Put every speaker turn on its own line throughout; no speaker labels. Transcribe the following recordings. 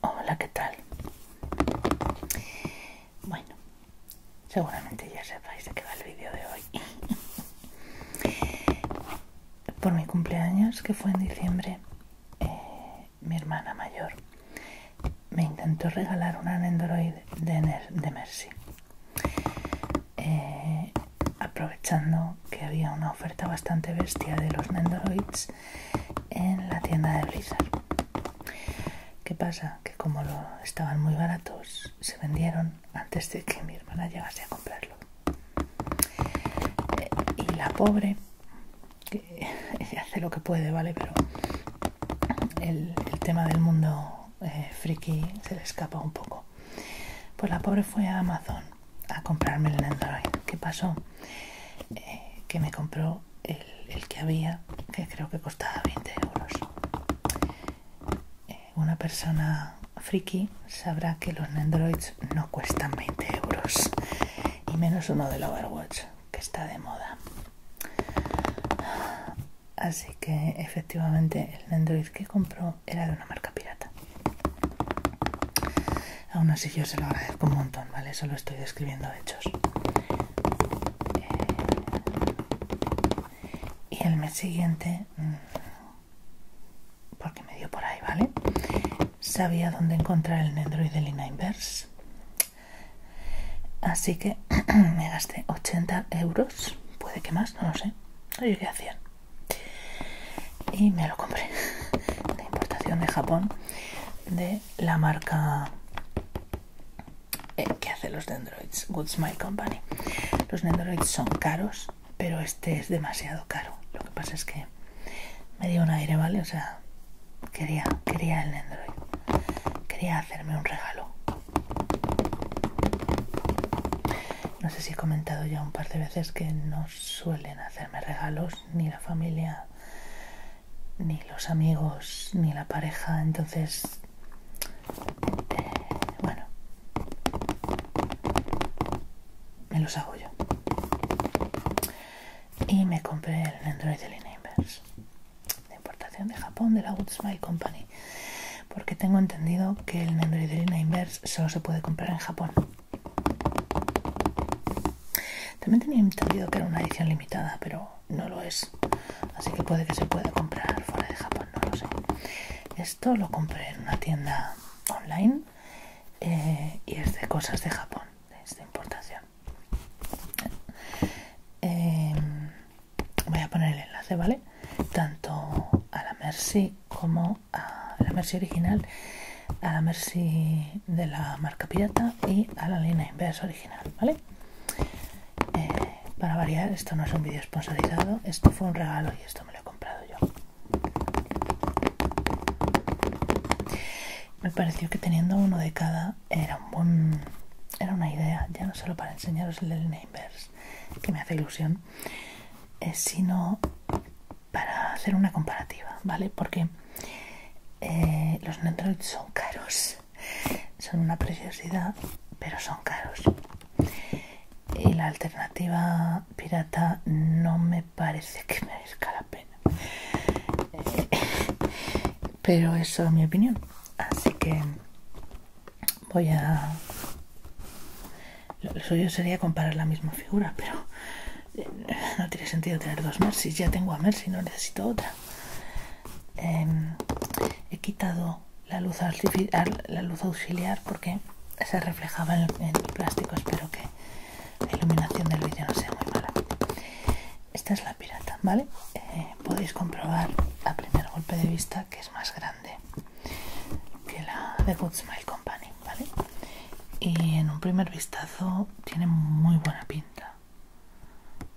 Hola, ¿qué tal? Bueno, seguramente ya sepáis de qué va el vídeo de hoy. Por mi cumpleaños, que fue en diciembre, eh, mi hermana mayor me intentó regalar un Android de, Mercy. Eh, aprovechando que había una oferta bastante bestia de los Nendoroids en la tienda de Blizzard. ¿Qué pasa? Que como lo estaban muy baratos, se vendieron antes de que mi hermana llegase a comprarlo. Eh, y la pobre, que hace lo que puede, ¿vale? Pero el, tema del mundo eh, friki se le escapa un poco. Pues la pobre fue a Amazon a comprarme el Android. ¿Qué pasó? Eh, que me compró el, que había, que creo que costaba 20 euros. Eh, una persona friki sabrá que los androids no cuestan 20 euros, y menos uno del Overwatch, que está de moda. Así que efectivamente el android que compró era de una marca pirata. Aún así yo se lo agradezco un montón, ¿vale? Solo estoy describiendo hechos. Eh, y el mes siguiente, mm, porque me dio por ahí, ¿vale? Sabía dónde encontrar el Android de Lina Inverse. Así que me gasté 80 euros, puede que más, no lo sé. No yo qué Y me lo compré de importación de Japón de la marca eh, que hace los dendroids, Good Smile Company. Los dendroids son caros, pero este es demasiado caro. Lo que pasa es que me dio un aire, ¿vale? O sea, quería, quería el dendroid. Quería hacerme un regalo. No sé si he comentado ya un par de veces que no suelen hacerme regalos ni la familia ni los amigos, ni la pareja, entonces, eh, bueno, me los hago yo. Y me compré el Android de Inverse, de importación de Japón, de la Good Smile Company, porque tengo entendido que el Android de Inverse solo se puede comprar en Japón. También tenía entendido que era una edición limitada, pero no lo es. Así que puede que se pueda comprar fuera de Japón, no lo sé. Esto lo compré en una tienda online eh, y es de cosas de Japón, es de importación. Em, voy a poner el enlace, ¿vale? Tanto a la Mercy como a la Mercy original a la Mercy de la marca pirata y a la línea Inverse original, ¿vale? Eh, para variar, esto no es un vídeo sponsorizado, esto fue un regalo y esto me lo he comprado yo. Me pareció que teniendo uno de cada era un buen, era una idea, ya no solo para enseñaros el Lena inverse, que me hace ilusión, eh, sino para hacer una comparativa, ¿vale? Porque eh, los Nendroids son caros, son una preciosidad, pero son caros. Y la alternativa pirata no me parece que merezca la pena. Eh, pero eso es mi opinión. Así que voy a... Lo suyo sería comparar la misma figura, pero no tiene sentido tener dos Mercy, ya tengo a Mercy, no necesito otra. Em, he quitado la luz, auxiliar, la luz auxiliar porque se reflejaba en el, plástico, espero que la iluminación del vídeo no sea muy mala. Esta es la pirata, ¿vale? Eh, podéis comprobar a primer golpe de vista que es más grande que la de Good Smile Company, ¿vale? y en un primer vistazo tiene muy buena pinta.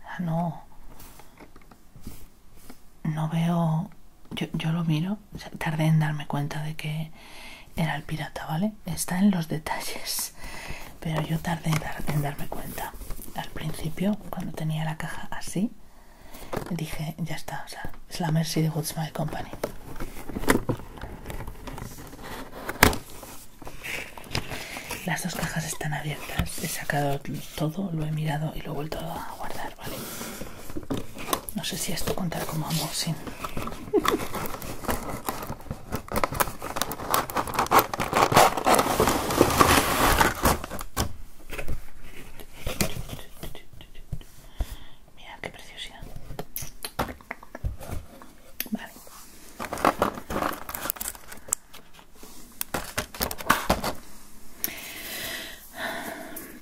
Ah, No, no veo, yo, yo lo miro, tardé en darme cuenta de que era el pirata, ¿vale? Está en los detalles, pero yo tardé en, darme cuenta. Al principio, cuando tenía la caja así, dije, ya está, o sea, es la Mercy de Woods My Company. Las dos cajas están abiertas. He sacado todo, lo he mirado y lo he vuelto a guardar, ¿vale? No sé si esto contar como unboxing. Mira qué preciosidad. Vale.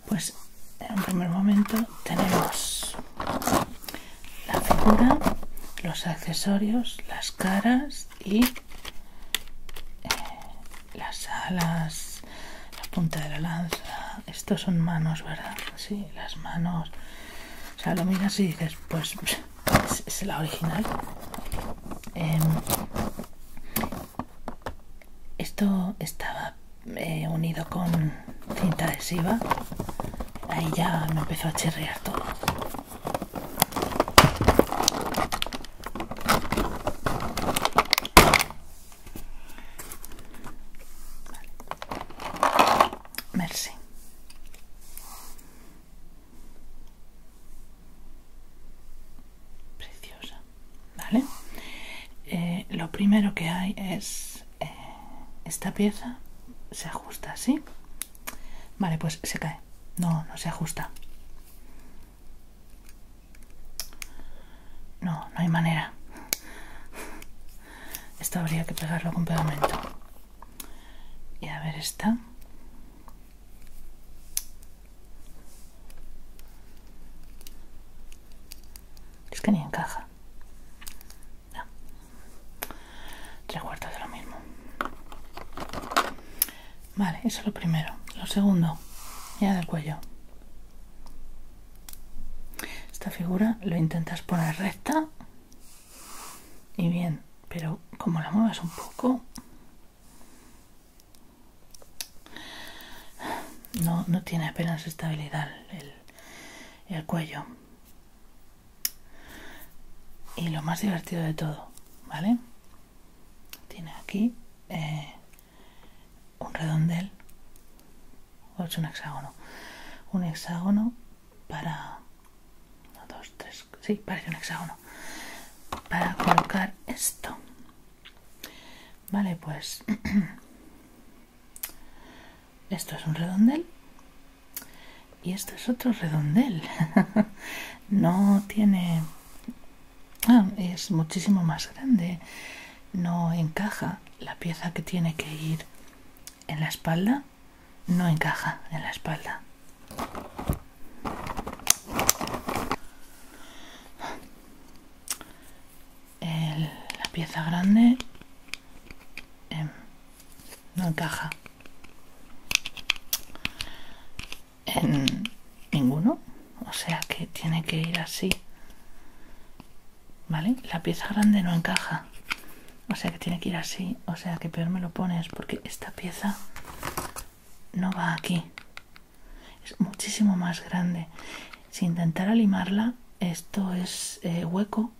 Pues en primer momento tenemos la figura, los accesorios, las caras y eh, las alas, la punta de la lanza. Estos son manos, ¿verdad? Sí, las manos o sea, lo miras y dices, pues es, la original. Em, esto estaba eh, unido con cinta adhesiva. Ahí ya me empezó a chirrear todo. Merci. Preciosa. ¿Vale? Eh, lo primero que hay es eh, esta pieza se ajusta así. Vale, pues se cae. No, no se ajusta. No, no hay manera. Esto habría que pegarlo con pegamento. Y a ver esta. Es que ni encaja. Tres cuartos de lo mismo. Vale, eso es lo primero. Lo segundo, ya del cuello. Esta figura lo intentas poner recta y bien, pero como la muevas un poco, no, tiene apenas estabilidad el, cuello. Y lo más divertido de todo, ¿vale? Tiene aquí eh, un redondel o es un hexágono un hexágono para dos, tres, sí, parece un hexágono para colocar esto vale, pues esto es un redondel y esto es otro redondel no tiene ah, es muchísimo más grande no encaja la pieza que tiene que ir en la espalda no encaja en la espalda. El, la pieza grande em, no encaja en ninguno, o sea que tiene que ir así ¿Vale? La pieza grande no encaja. O sea que tiene que ir así. O sea que peor me lo pones porque esta pieza no va aquí. Es muchísimo más grande. Si intentar limarla, esto es eh, hueco.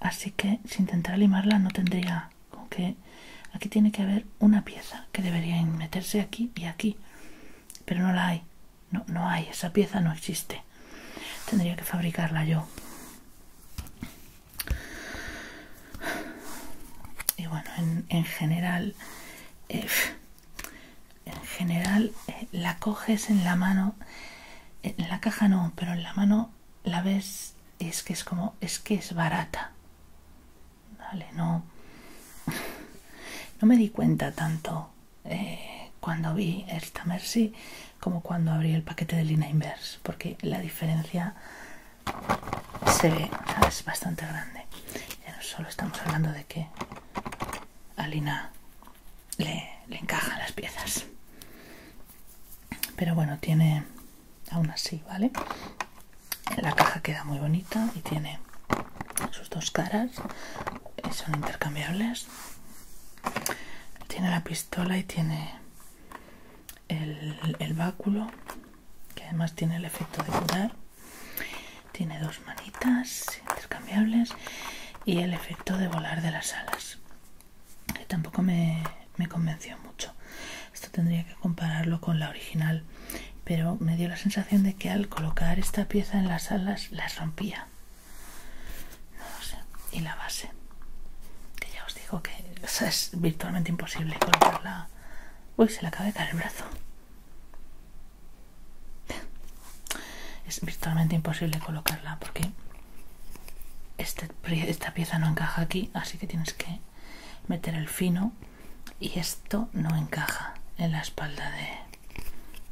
Así que si intentar limarla no tendría como que... Aquí tiene que haber una pieza que debería meterse aquí y aquí. Pero no la hay. No, no hay, esa pieza no existe. Tendría que fabricarla yo. Y bueno, en, en general, eh, en general eh, la coges en la mano, en la caja no, pero en la mano la ves y es que es como, es que es barata. Vale, no, no me di cuenta tanto eh, cuando vi esta Mercy como cuando abrí el paquete de Lina Inverse, porque la diferencia se ve, es bastante grande. Ya no solo estamos hablando de que a Lina le, le encajan las piezas, pero bueno, tiene aún así, ¿vale? La caja queda muy bonita y tiene sus dos caras, eh, son intercambiables tiene la pistola y tiene el, báculo, que además tiene el efecto de curar. Tiene dos manitas intercambiables y el efecto de volar de las alas, que tampoco me convenció mucho. Esto tendría que compararlo con la original, pero me dio la sensación de que al colocar esta pieza en las alas las rompía. Y la base, que ya os digo que es virtualmente imposible colocarla. Uy, se le acaba de caer el brazo. Es virtualmente imposible colocarla porque este esta pieza no encaja aquí, así que tienes que meter el fino y esto no encaja en la espalda de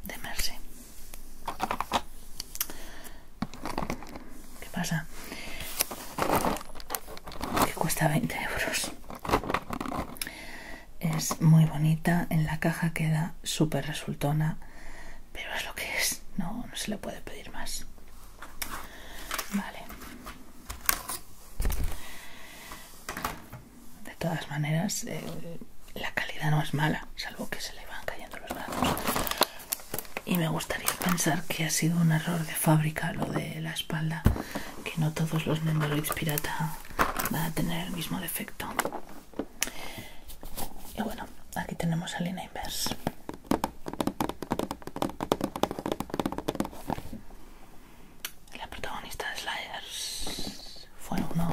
de Mercy. ¿Qué pasa? Que cuesta 20 euros. Es muy bonita, en la caja queda súper resultona, pero es lo que es, no, no se le puede pedir más. Vale de todas maneras eh, la calidad no es mala salvo que se le van cayendo los brazos. y me gustaría pensar que ha sido un error de fábrica lo de la espalda que no todos los Nendoroids pirata van a tener el mismo defecto y bueno aquí tenemos a Lina Inverse la protagonista de Slayers fue uno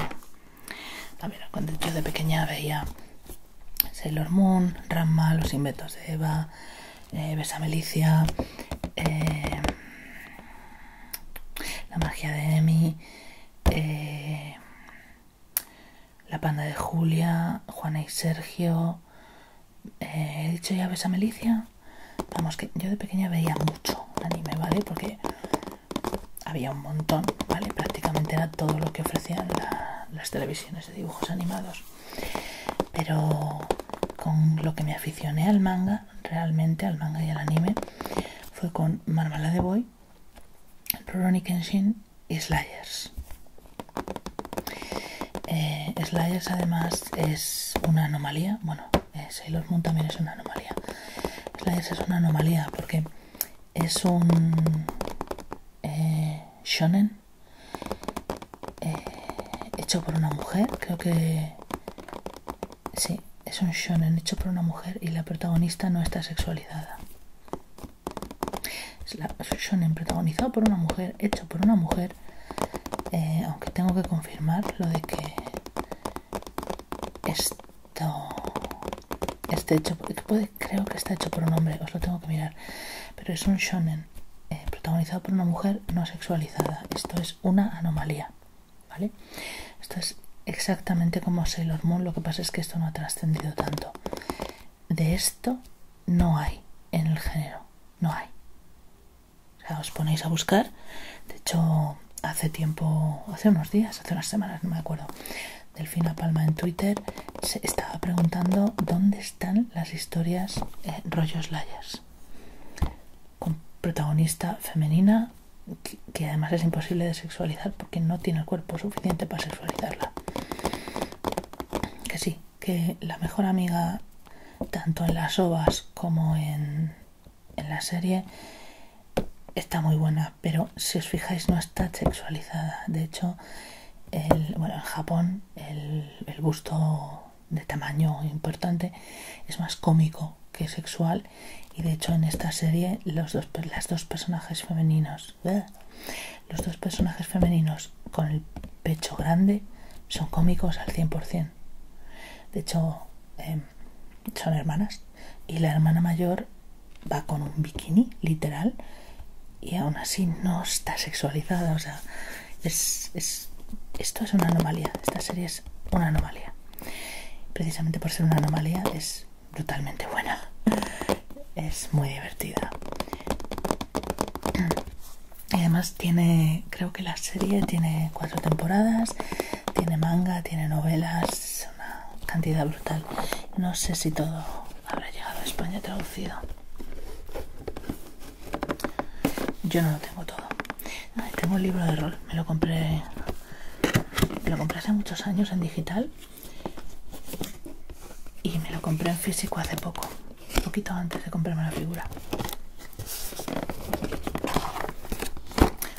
también cuando yo de pequeña veía Sailor Moon, Ramma, Los Inventos de Eva, eh, Besa Melicia, eh, La Magia de Emi, eh, La Panda de Julia, Juana y Sergio. ¿He dicho ya Melicia, Vamos, que yo de pequeña veía mucho anime, ¿vale? Porque había un montón, ¿vale? Prácticamente era todo lo que ofrecían las televisiones de dibujos animados. Pero con lo que me aficioné al manga, realmente al manga y al anime, fue con Marmalade Boy, Rurouni Kenshin y Slayers. Eh, Slayers además es una anomalía, bueno, eh, Sailor Moon también es una anomalía. Slayers es una anomalía porque es un eh, shonen eh, hecho por una mujer, creo que sí, es un shonen hecho por una mujer y la protagonista no está sexualizada. Es, la, un shonen protagonizado por una mujer, hecho por una mujer, eh, aunque tengo que confirmar lo de que es este hecho, puede, creo que está hecho por un hombre, os lo tengo que mirar. Pero es un shonen eh, protagonizado por una mujer no sexualizada. Esto es una anomalía, ¿vale? Esto es exactamente como Sailor Moon, lo que pasa es que esto no ha trascendido tanto. De esto no hay en el género, no hay. O sea, os ponéis a buscar. De hecho, hace tiempo, hace unos días, hace unas semanas, no me acuerdo, Delfina Palma en Twitter se estaba preguntando dónde están las historias eh, rollos layers con protagonista femenina que, que además es imposible de sexualizar porque no tiene el cuerpo suficiente para sexualizarla. Que sí, que la mejor amiga tanto en las ovas como en en la serie está muy buena, pero si os fijáis no está sexualizada. De hecho, el, bueno, en Japón el, el busto de tamaño importante es más cómico que sexual y de hecho en esta serie los dos, las dos personajes femeninos ¡ah! los dos personajes femeninos con el pecho grande son cómicos al 100% de hecho em, son hermanas. Y la hermana mayor va con un bikini, literal, y aún así no está sexualizada. O sea, es, esto es una anomalía. Esta serie es una anomalía. Precisamente por ser una anomalía es brutalmente buena. Es muy divertida. Y además tiene, creo que la serie tiene cuatro temporadas, tiene manga, tiene novelas, una cantidad brutal. No sé si todo habrá llegado a España traducido. Yo no lo tengo todo. tengo el libro de rol, me lo compré. lo compré hace muchos años en digital y me lo compré en físico hace poco, un poquito antes de comprarme la figura.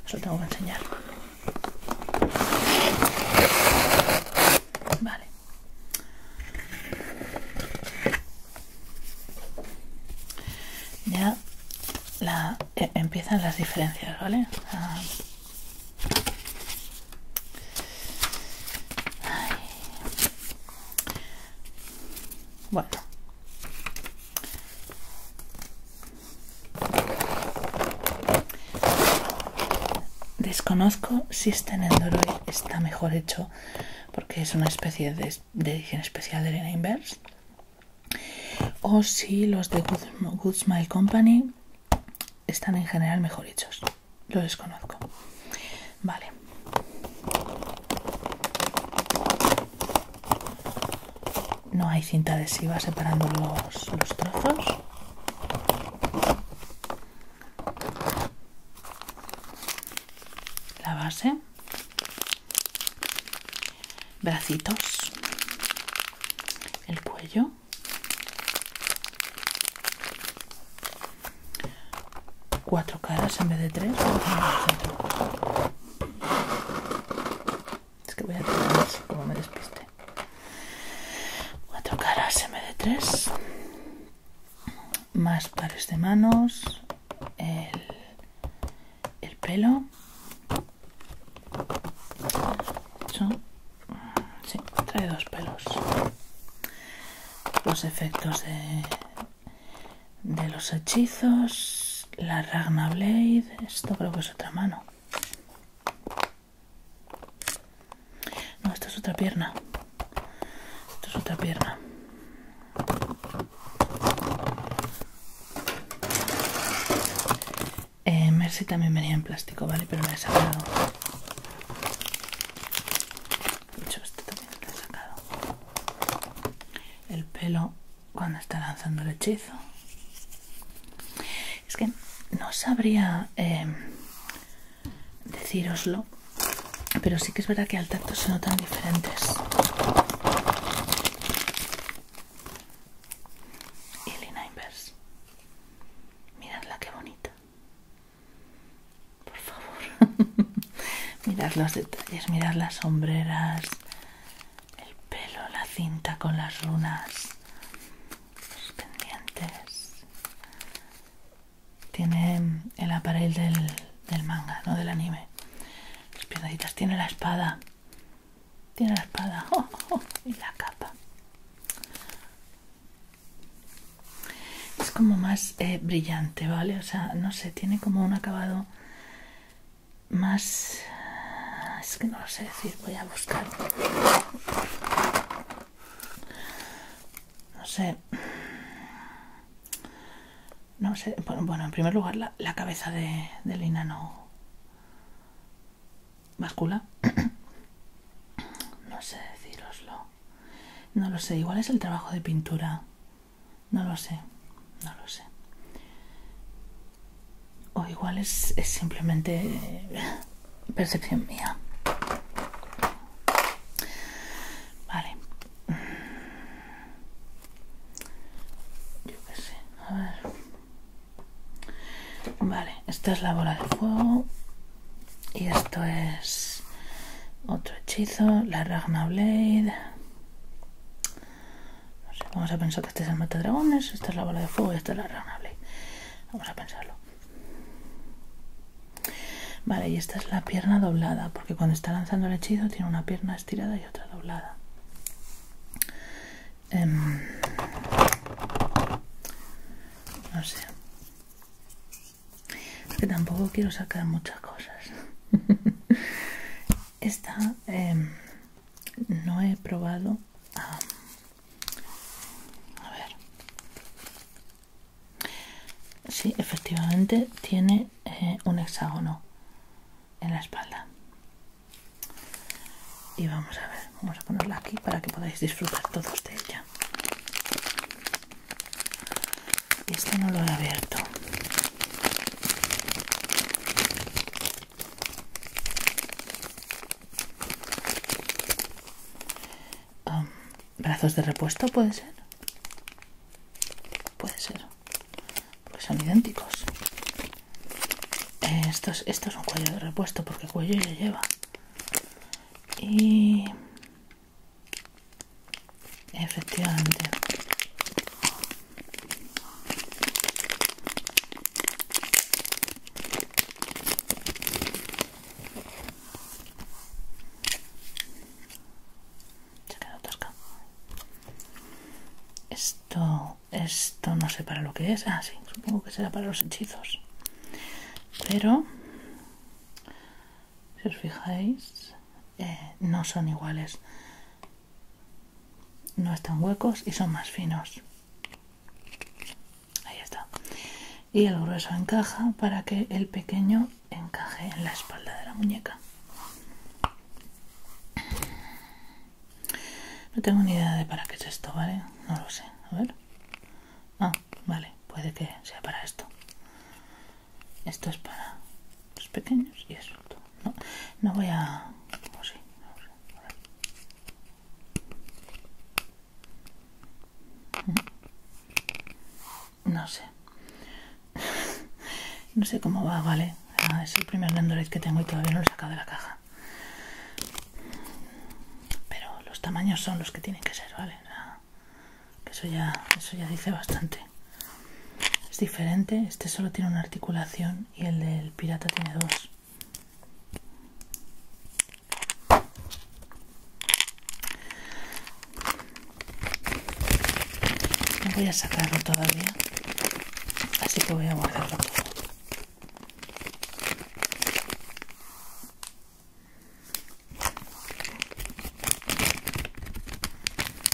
Os lo tengo que enseñar. Vale. Ya la, eh, empiezan las diferencias, ¿vale? Ah. Bueno, Desconozco si este Nendoroid está mejor hecho porque es una especie de, edición especial de Lena Inverse o si los de Good Smile Company están en general mejor hechos. Lo desconozco. Vale. No hay cinta adhesiva separando los, trozos. La base. Bracitos. El cuello. Cuatro caras en vez de tres. Es que voy a tocar más, como me despiste. Cuatro caras tocar de tres, 3 Más pares de manos. El, el pelo. Eso. Sí, trae dos pelos. Los efectos de, de los hechizos la Ragna Blade. Esto creo que es otra mano. No, esto es otra pierna. Esto es otra pierna. Eh, Mercy también venía en plástico, ¿vale? Pero me he sacado. De hecho, este también lo he sacado. El pelo cuando está lanzando el hechizo. Es que no sabría eh, deciroslo decíroslo, pero sí que es verdad que al tacto se notan diferentes. Y Lina Inverse. Miradla qué bonita. Por favor. mirad los detalles, mirad las sombreras, el pelo, la cinta con las runas, los pendientes. Tiene el aparel del, del manga, no del anime. Las piedaditas, tiene la espada. Tiene la espada oh, oh, oh. y la capa. Es como más eh, brillante, ¿vale? O sea, no sé, tiene como un acabado más... Es que no lo sé decir, voy a buscar. No sé. No sé. Bueno, en primer lugar, la, cabeza de, de, Lina no. Bascula. no sé deciroslo. No lo sé. Igual es el trabajo de pintura. No lo sé, no lo sé. O igual es, simplemente eh, percepción mía. Vale. Yo qué sé. A ver. Vale, esta es la bola de fuego. Y esto es otro hechizo, la Ragna Blade. No sé, vamos a pensar que este es el mata-dragones, esta es la bola de fuego y esta es la rana Vamos a pensarlo. Vale, y esta es la pierna doblada, porque cuando está lanzando el hechizo tiene una pierna estirada y otra doblada. Em, no sé. que tampoco quiero sacar muchas cosas. esta em, no he probado um, a ver Sí, efectivamente tiene eh, un hexágono en la espalda. Y vamos a ver, vamos a ponerla aquí para que podáis disfrutar todos de ella. Y Este no lo he abierto. ¿Brazos de repuesto puede ser? Puede ser. Porque son idénticos. Eh, esto, es, esto es un cuello de repuesto porque cuello ya lleva. Y... Efectivamente. Se quedó Esto, esto no sé para lo que es. Ah, sí, supongo que será para los hechizos. Pero, si os fijáis, eh, no son iguales. No están huecos y son más finos. Ahí está. Y el grueso encaja para que el pequeño encaje en la espalda de la muñeca. No tengo ni idea de para qué es esto, ¿vale? No lo sé. A ver. Ah, vale. Puede que sea para esto. Esto es para los pequeños y es todo no, no voy a... Oh, mm. no, sé. no sé cómo va, vale. Ah, es el primer Nendoroid que tengo y todavía no lo he sacado de la caja. Pero los tamaños son los que tienen que ser, ¿vale? eso ya, eso ya dice bastante. Es diferente, este solo tiene una articulación y el del pirata tiene dos. No voy a sacarlo todavía, así que voy a guardarlo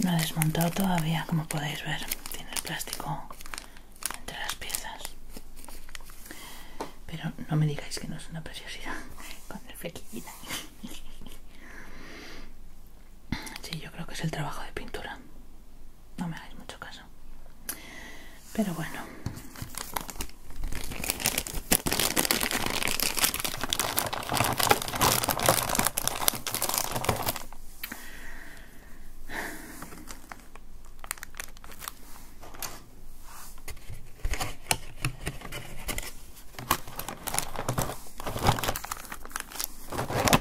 No ha desmontado todavía, como podéis ver, tiene el plástico entre las piezas. Pero no me digáis que no es una preciosidad con Sí, yo creo que es el trabajo de pintura. No me hagáis mucho caso. Pero bueno.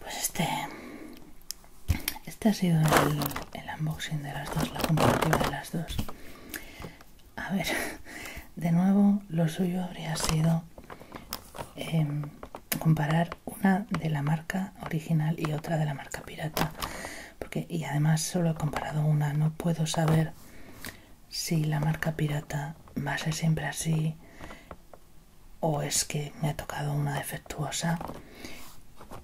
Pues este este ha sido el, unboxing de las dos, la comparativa de las dos. A ver, de nuevo, lo suyo habría sido em, comparar una de la marca original y otra de la marca pirata. Porque, y además solo he comparado una, no puedo saber si la marca pirata va a ser siempre así o es que me ha tocado una de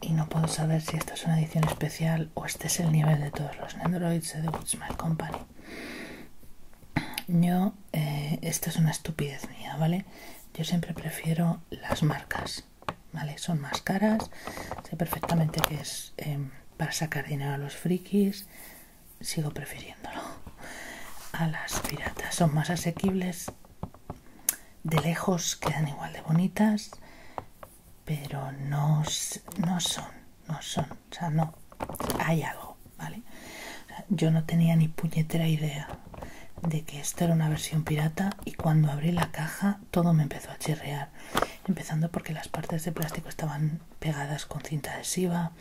y no puedo saber si esta es una edición especial o este es el nivel de todos los Androids de The Company. Yo, eh, esta es una estupidez mía, ¿vale? Yo siempre prefiero las marcas, ¿vale? Son más caras, sé perfectamente que es eh, para sacar dinero a los frikis, sigo prefiriéndolo a las piratas, son más asequibles de lejos quedan igual de bonitas, pero no, son, no son, o sea, no, hay algo, ¿vale? yo no tenía ni puñetera idea de que esto era una versión pirata y cuando abrí la caja todo me empezó a chirrear, empezando porque las partes de plástico estaban pegadas con cinta adhesiva,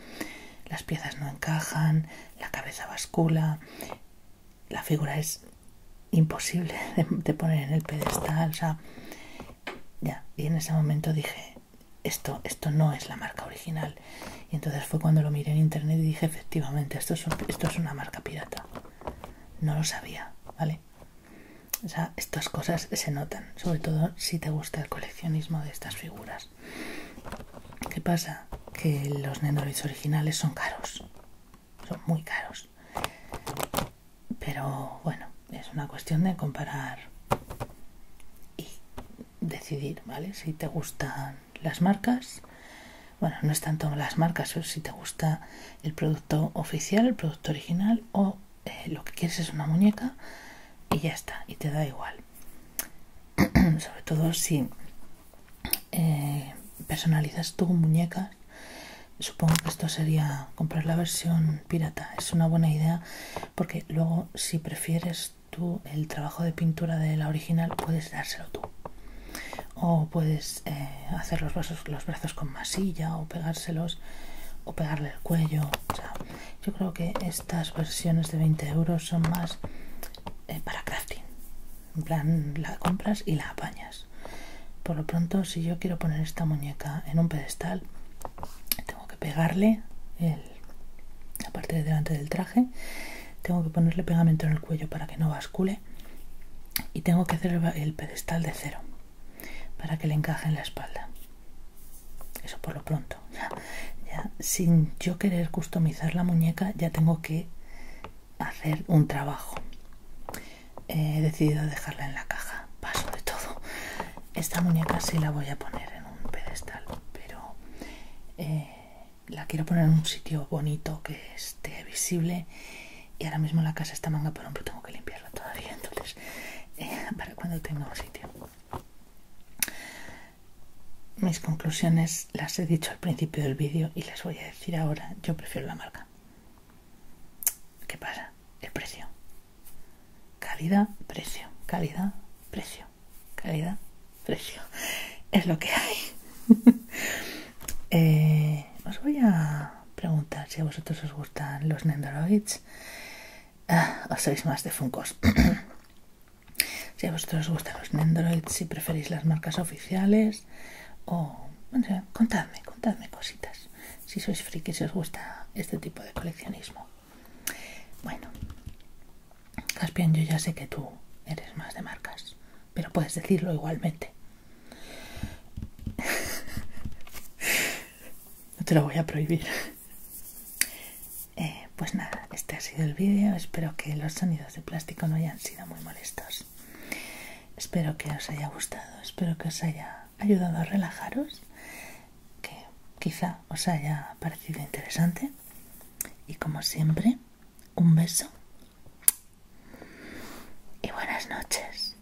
las piezas no encajan, la cabeza bascula, la figura es imposible de, poner en el pedestal, o sea, ya, y en ese momento dije, esto, esto no es la marca original. Y entonces fue cuando lo miré en internet y dije, efectivamente, esto es, esto es una marca pirata. No lo sabía, ¿vale? O sea, estas cosas se notan, sobre todo si te gusta el coleccionismo de estas figuras. ¿Qué pasa? Que los Nendoroids originales son caros, son muy caros. Pero bueno, es una cuestión de comparar y decidir, ¿vale? Si te gustan las marcas, bueno, no es tanto las marcas, o si te gusta el producto oficial, el producto original o eh, lo que quieres es una muñeca y ya está, y te da igual. Sobre todo si eh, personalizas tú muñecas. Supongo que esto sería comprar la versión pirata. Es una buena idea porque luego si prefieres tú el trabajo de pintura de la original puedes dárselo tú. O puedes eh, hacer los brazos, los brazos con masilla o pegárselos o pegarle el cuello. yo creo que estas versiones de 20 euros son más eh, para crafting plan, la compras y la apañas. Por lo pronto, si yo quiero poner esta muñeca en un pedestal, tengo que pegarle el, la parte de delante del traje, tengo que ponerle pegamento en el cuello para que no bascule y tengo que hacer el pedestal de cero para que le encaje en la espalda. Eso por lo pronto. ya sin yo querer customizar la muñeca, ya tengo que hacer un trabajo. He decidido dejarla en la caja, paso de todo. Esta muñeca sí la voy a poner en un pedestal, pero eh, la quiero poner en un sitio bonito que esté visible. Y ahora mismo la casa está manga por pero tengo que limpiarla todavía, entonces eh, para cuando tenga un sitio. Mis conclusiones las he dicho al principio del vídeo y las voy a decir ahora. Yo prefiero la marca. ¿Qué pasa? El precio. Calidad, precio. Calidad, precio. Calidad, precio. Es lo que hay. Eh, os voy a preguntar si a vosotros os gustan los Nendoroids. Ah, o sois más de Funkos. Si a vosotros os gustan los Nendoroids, si preferís las marcas oficiales, o contadme, contadme cositas. Si sois frikis, si os gusta este tipo de coleccionismo. Bueno, Caspian, yo ya sé que tú eres más de marcas, pero puedes decirlo igualmente. no te lo voy a prohibir. Eh, pues nada, este ha sido el vídeo. Espero que los sonidos de plástico no hayan sido muy molestos. Espero que os haya gustado. Espero que os haya ayudado a relajaros. Que quizá os haya parecido interesante. Y como siempre, un beso. Y buenas noches.